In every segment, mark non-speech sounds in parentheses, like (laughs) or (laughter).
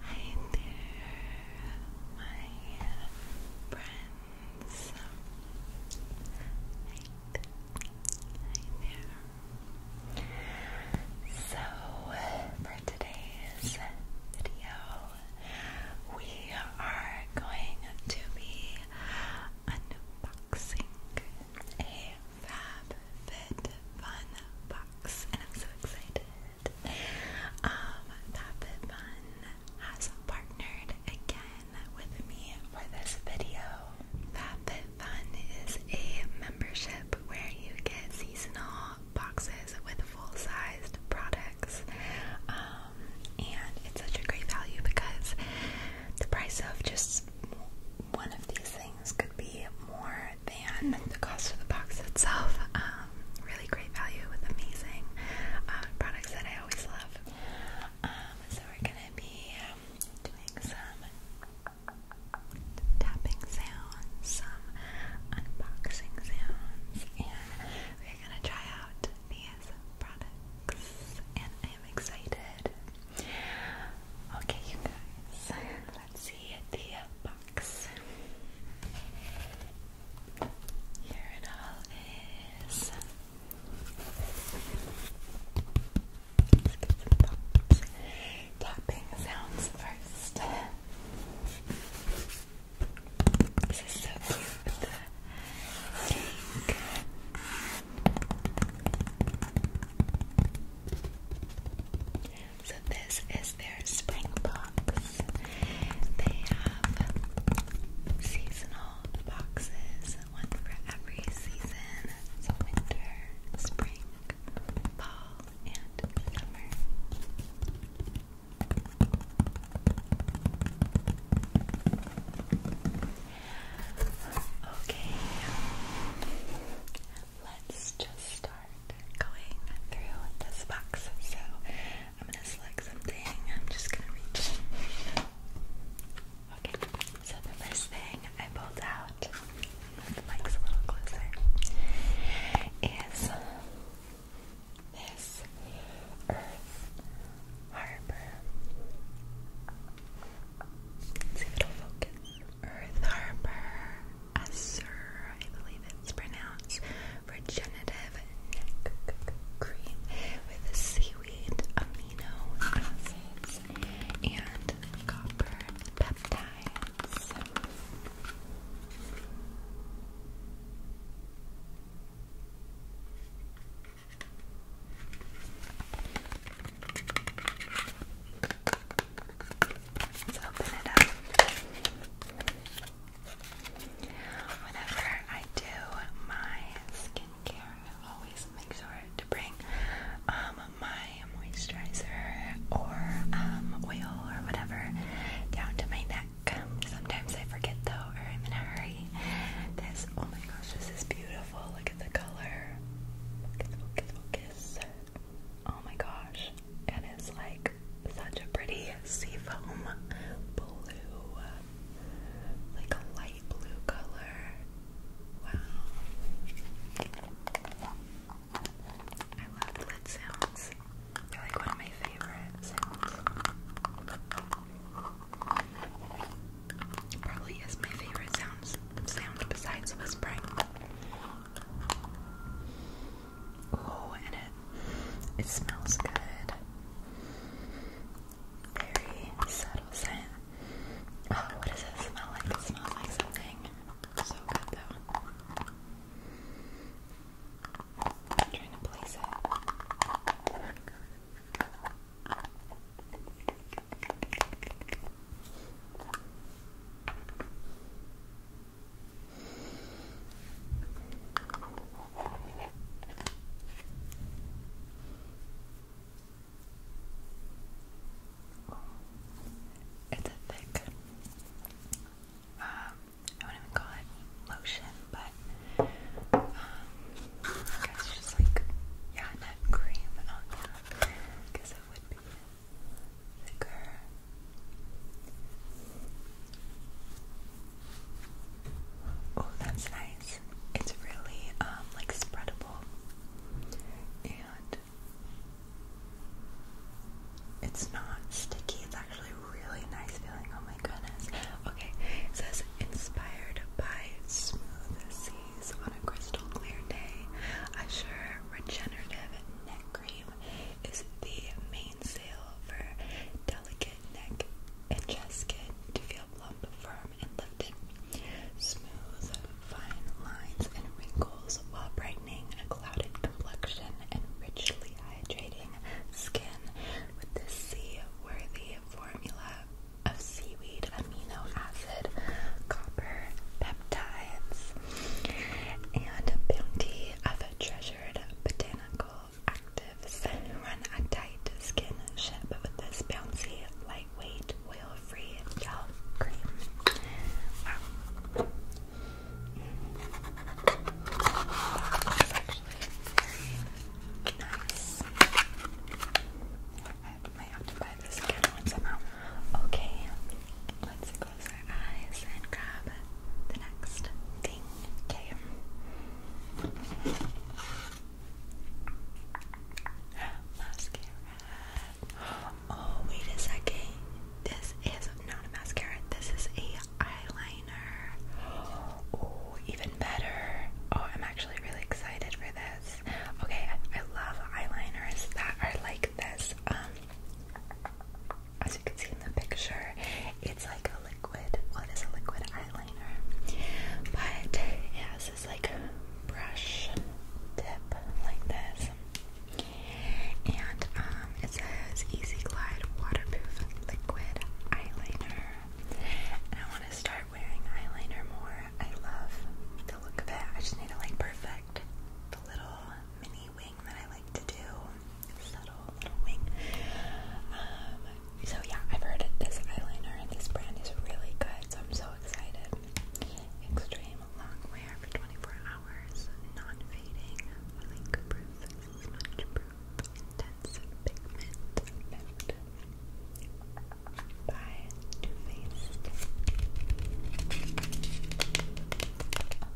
Hi there, my friends. Hi, there. So, for today's video, we are going to be unboxing a FabFitFun box, and I'm so excited it. Um, that Bit Bun has partnered again with me for this video. That Bit Fun is a membership where you get seasonal boxes with full-sized products. Um, and it's such a great value because the price of just one of these things could be more than the cost of the box itself. Um, really great value with amazing um, products that I always love. Um, so we're gonna be doing some tapping sounds, some unboxing sounds, and we're gonna try out these products. And I am excited. Okay, you guys, let's see the box. Here it all is. Let's get some bumps. Tapping sounds first. This is so cute so this is their spring box. They have seasonal boxes, one for every season. winter, spring, fall, and summer. Okay let's just start going through this box. So I'm gonna select something. I'm just gonna reach. Okay, so the first thing I pulled out, the mic's a little closer, is this Earth Harbor. see if it'll focus. Earth Harbor. Esser, I believe it's pronounced, regenerative neck cream with seaweed amino acids and copper peptides. Let's open it up. Whenever I do my skincare, I always make sure to bring um, my moisturizer or um, oil or whatever down to my neck. Sometimes I forget though, or I'm in a hurry. This, oh my gosh, this is beautiful. Look at the color. Focus, focus, focus. Oh my gosh and it's like such a pretty seafoam blue, like a light blue color. Wow. I love lid sounds. They're like one of my favorite Probably is my favorite sounds sound besides whispering low in it. It smells good. Very subtle scent. Oh, what does it smell like? smells like something. So good though. trying to place it. It's a thick, um, I wouldn't even call it lotion, but um, it's just like, yeah, not cream on top, because it would be thicker Oh, that's nice. It's really um like spreadable. And it's not sticky. It's actually really nice feeling. Oh my goodness. Okay. It says inspired by smooth seas on a crystal clear day. I Assure regenerative neck cream is the mainsail for delicate neck and chest skin to feel plump, firm, and lifted. Smooth, fine lines and wrinkles while brightening a clouded complexion and richly hydrating skin with this sea formula of seaweed amino acid, copper peptides, and bounty of treasured botanical Active actives run a tight skin ship with this bouncy, lightweight, oil-free gel cream. Wow. I might have to buy this again once Okay, close our eyes and grab the next thing. Okay. Mascara. Oh, wait a second. This is not a mascara. This is a eyeliner. Oh, even better. Oh, I'm actually really excited for this. Okay, I love eyeliners that are like this. Um as you can see in the picture, it's like a liquid, What is a liquid eyeliner, but it has this like brush tip like this, and um, it says Easy Glide Waterproof Liquid Eyeliner, and I want to start wearing eyeliner more, I love the look of it, I just need to like perfect the little mini wing that I like to do. Subtle little wing. Um, so yeah, I've heard this eyeliner and this brand is really good, so I'm so excited. Extreme long wear for 24 hours, non-fading, link proof, intense pigment by Too Faced.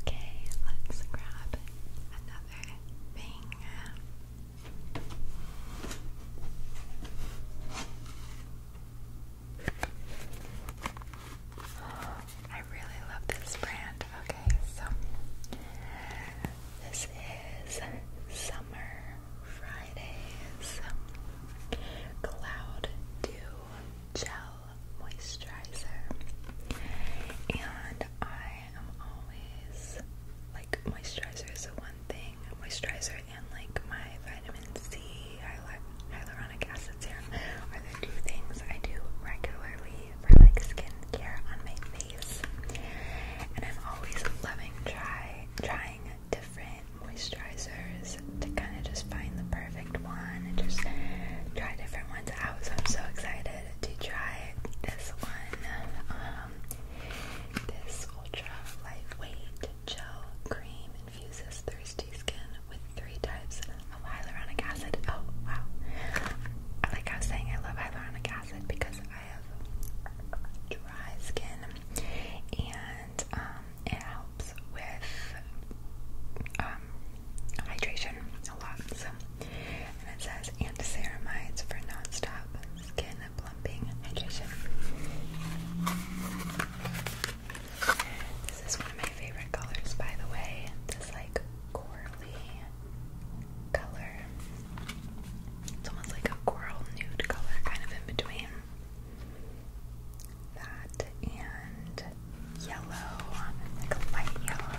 Okay, let's grab another I really love this brand. Okay, so this is Summer Fridays Cloud Dew Gel Moisturizer, and I am always like moisturizer is the one thing. Moisturizer and like my vitamin C hyal hyaluronic acid serum are the two things I do regularly for like skincare on my face. And I'm always loving try trying different moisturizers to kind of just find the perfect one and just try different ones out. So I'm so excited to try this one. Um, this ultra lightweight gel cream infuses thirsty skin with three types of hyaluronic acid. Oh wow! I like I was saying, I love hyaluronic acid because I have dry skin, and um, it helps with um, hydration a lot. So and it says and ceramides for nonstop stop skin plumping hydration. This is one of my favorite colors, by the way. This like corally color. It's almost like a coral nude color, kind of in between that and yellow, like a light yellow.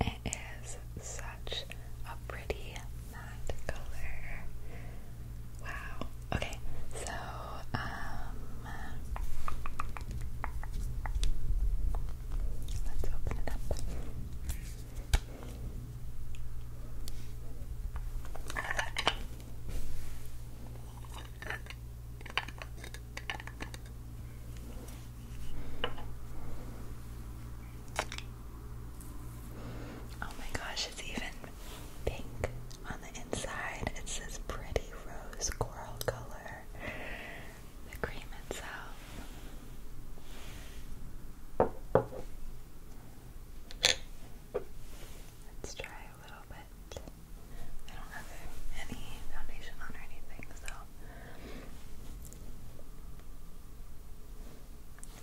It is such a pretty matte color. Wow. Okay, so, um, let's open it up. Oh my gosh, it's even pink on the inside. It's this pretty rose coral color. The cream itself. Let's try a little bit. I don't have any foundation on or anything, so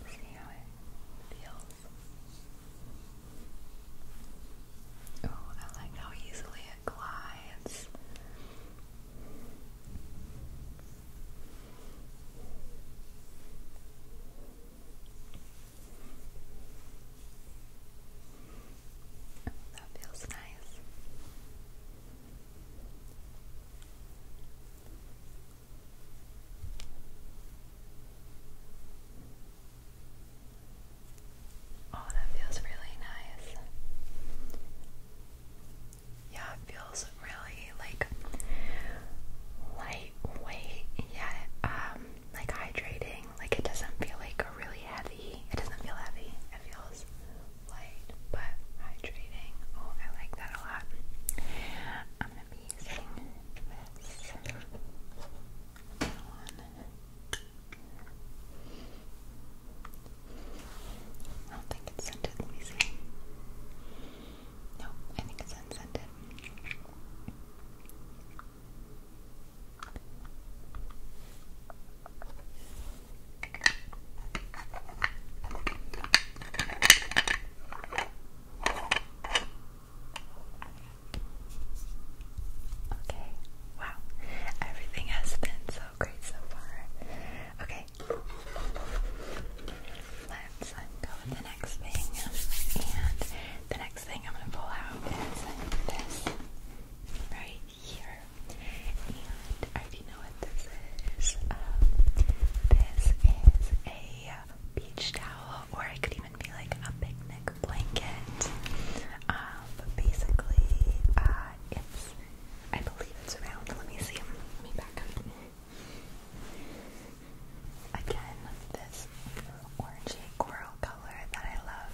See how it feels. Oh, I like how easily it glides. Oh, that feels nice. Oh, that feels really nice. Yeah, it feels really like lightweight yet um like hydrating. Like it doesn't feel like a really heavy. It doesn't feel heavy. It feels light but hydrating. Oh, I like that a lot. I'm going to be using this I don't think it's scented, let me see. No, I think it's unscented. Okay, wow. Everything has been so great so far. Okay. Let's uh, go with the next thing. And the next thing I'm going to pull out is this right here. And I already know what this is. Um, this is a a beach towel, or it could even be like a picnic blanket. Um, but basically, uh, it's I believe it's around. Let me see. Let me back up. Again, this orangey coral color that I love.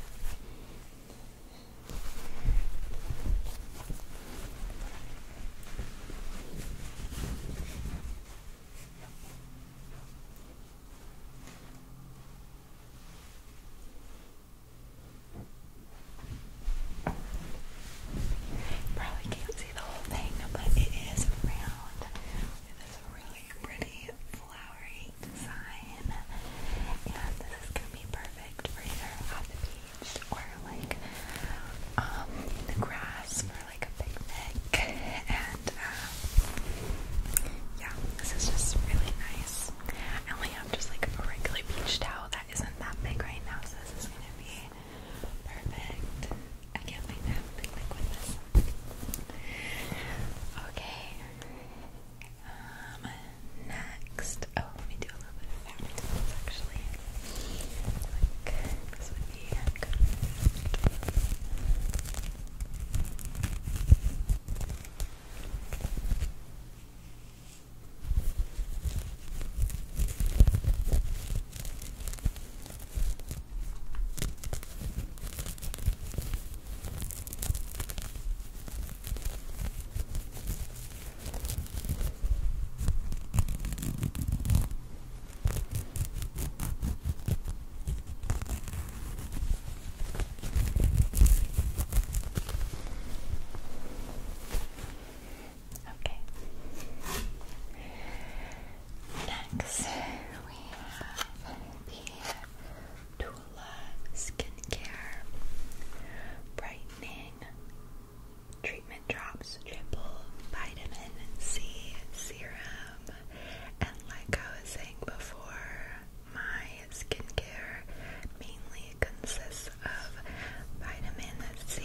You probably can't see the whole thing, but it is round with this really pretty flowery design. And this is gonna be perfect for either on the beach or like um, the grass like a picnic, and um, yeah, this is just really nice. I only have just like a regular beach towel that isn't that big right now, so this is gonna be perfect. I can't wait to with this. Okay. Um, next, oh, let me do a little bit of fabric actually. Like this would be good. Okay. Next, we have the Tula Skincare Brightening treatment drops, triple vitamin C serum, and like I was saying before, my skincare mainly consists of vitamin C,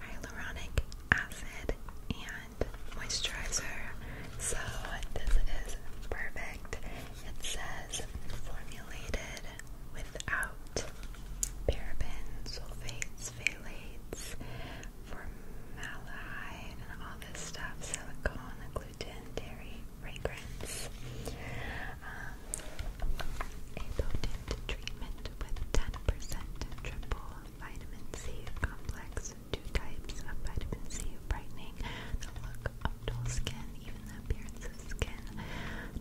hyaluronic acid, and moisturizer. So this is perfect. It says formulated without parabens, sulfates, phthalates, formaldehyde and all this stuff, silicone, gluten, dairy, fragrance. Um, a potent treatment with 10% triple vitamin C complex, two types of vitamin C, brightening the look of dull skin, even the appearance of skin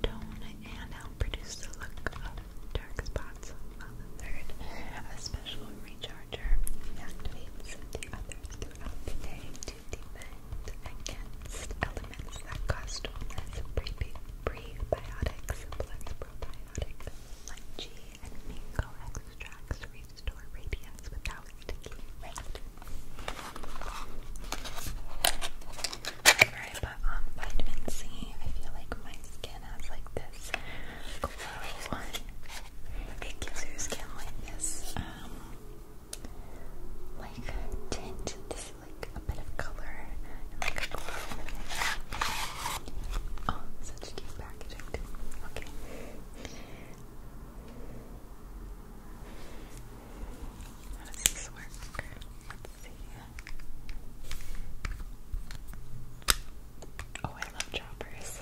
tone, and help produce the look of dark spots, while the third, a special recharger, activates the others throughout the day to defend against elements that cause illness, prebiotics, plus probiotics, lychee, and mango extracts restore radiance without sticky red. Whenever I put on vitamin feel like my skin has like this glow. It gives your skin like this, like tint. This like a bit of color like glow. Oh, such cute packaging. Okay. How does this work? Let's see. Oh, I love droppers.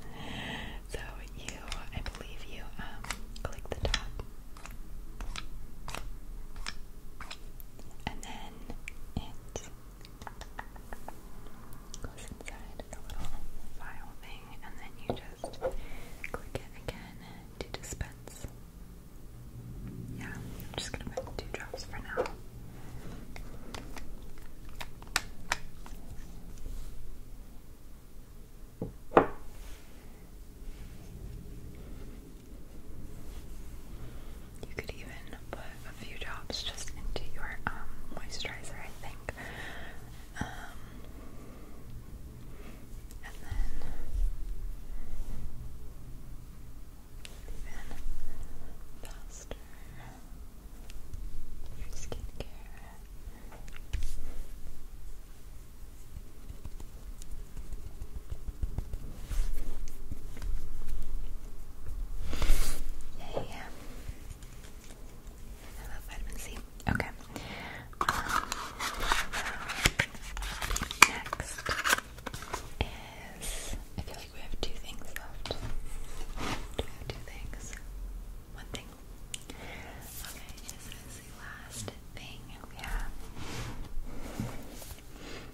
(laughs) so you, I believe you, um, click the top, and then it goes inside the little file thing, and then you just click it again to dispense. Yeah, I'm just gonna put two drops for now. You could even put a few drops just into your um, moisturizer, I think. Um, and then even faster for skincare. Yay! I love vitamin C. Okay. Um, next is. I feel like we have two things left. two things? One thing. Okay, this is the last thing we have.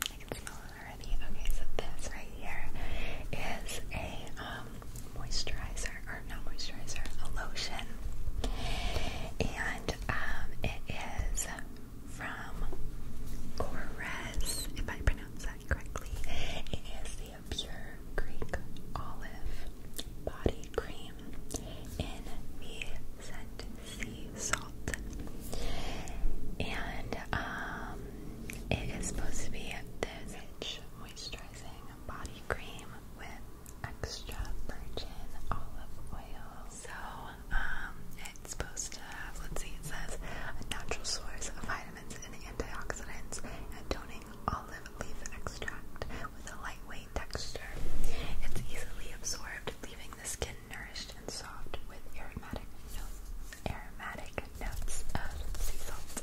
I can smell it already. Okay, so this right here is a um, moisturizer, or not moisturizer, a lotion. And um, it is from Cores, if I pronounce that It is the Pure Greek Olive Body Cream in the Sea Salt. And um, it is supposed to be this moisturizing body cream with extra virgin olive oil. So um, it's supposed to have, let's see, it says a natural source of vitamin antioxidants, and toning olive leaf extract with a lightweight texture. It's easily absorbed, leaving the skin nourished and soft with aromatic notes of sea salt.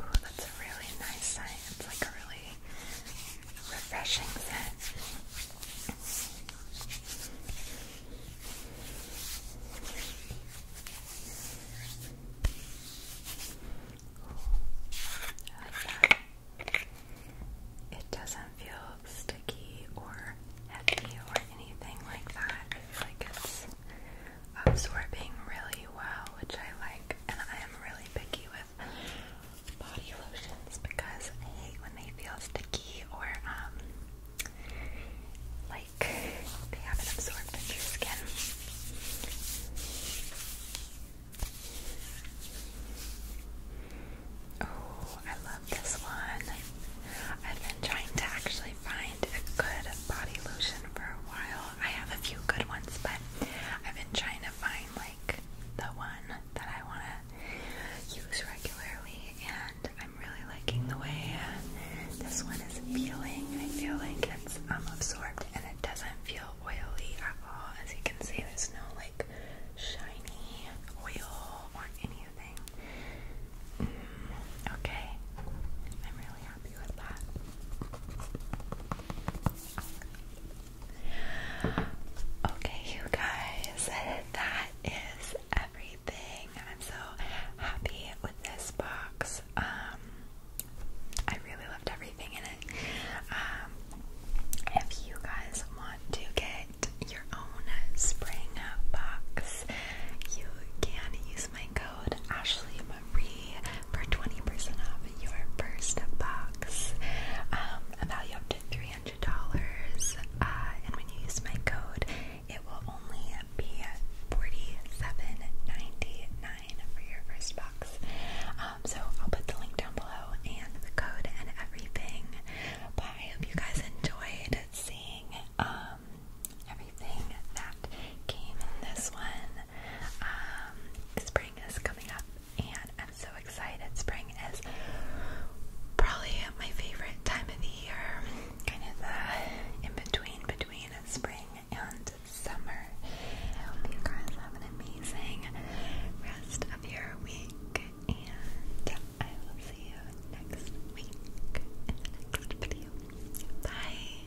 Oh, that's a really nice scent. It's like a really refreshing scent. It doesn't feel sticky or heavy or anything like that. I feel like it's absorbing really well, which I like. And I am really picky with body lotions because I hate when they feel sticky or um like they haven't absorbed into your skin. Oh, I love this one. I've been trying to actually find a good body lotion for a while. I have a few good ones, but I've been trying to find like the one that I want to use regularly, and I'm really liking the way this one is feeling. I feel like it's um, absorbed and it doesn't feel oily at all. As you can see, there's no like shiny oil or any Mm, okay, I'm really happy with that. Okay, you guys, that is everything. I'm so happy with this box. Um, I really loved everything in it. Um, if you guys want to get your own spring box, you can use my code Ashley Marie for 20% off your first box. Um, a value up to $300. Uh, and when you use my code, it will only be $47.99 for your first box. Um, so I'll put the link down below and the code and everything. But I hope you guys enjoyed seeing um, everything that came in this one. Um, spring is coming up, and I'm so excited. Spring is probably my favorite time of the year, kind of the uh, in between between spring and summer. I hope you guys have an amazing rest of your week and I will see you next week in the next video. Bye.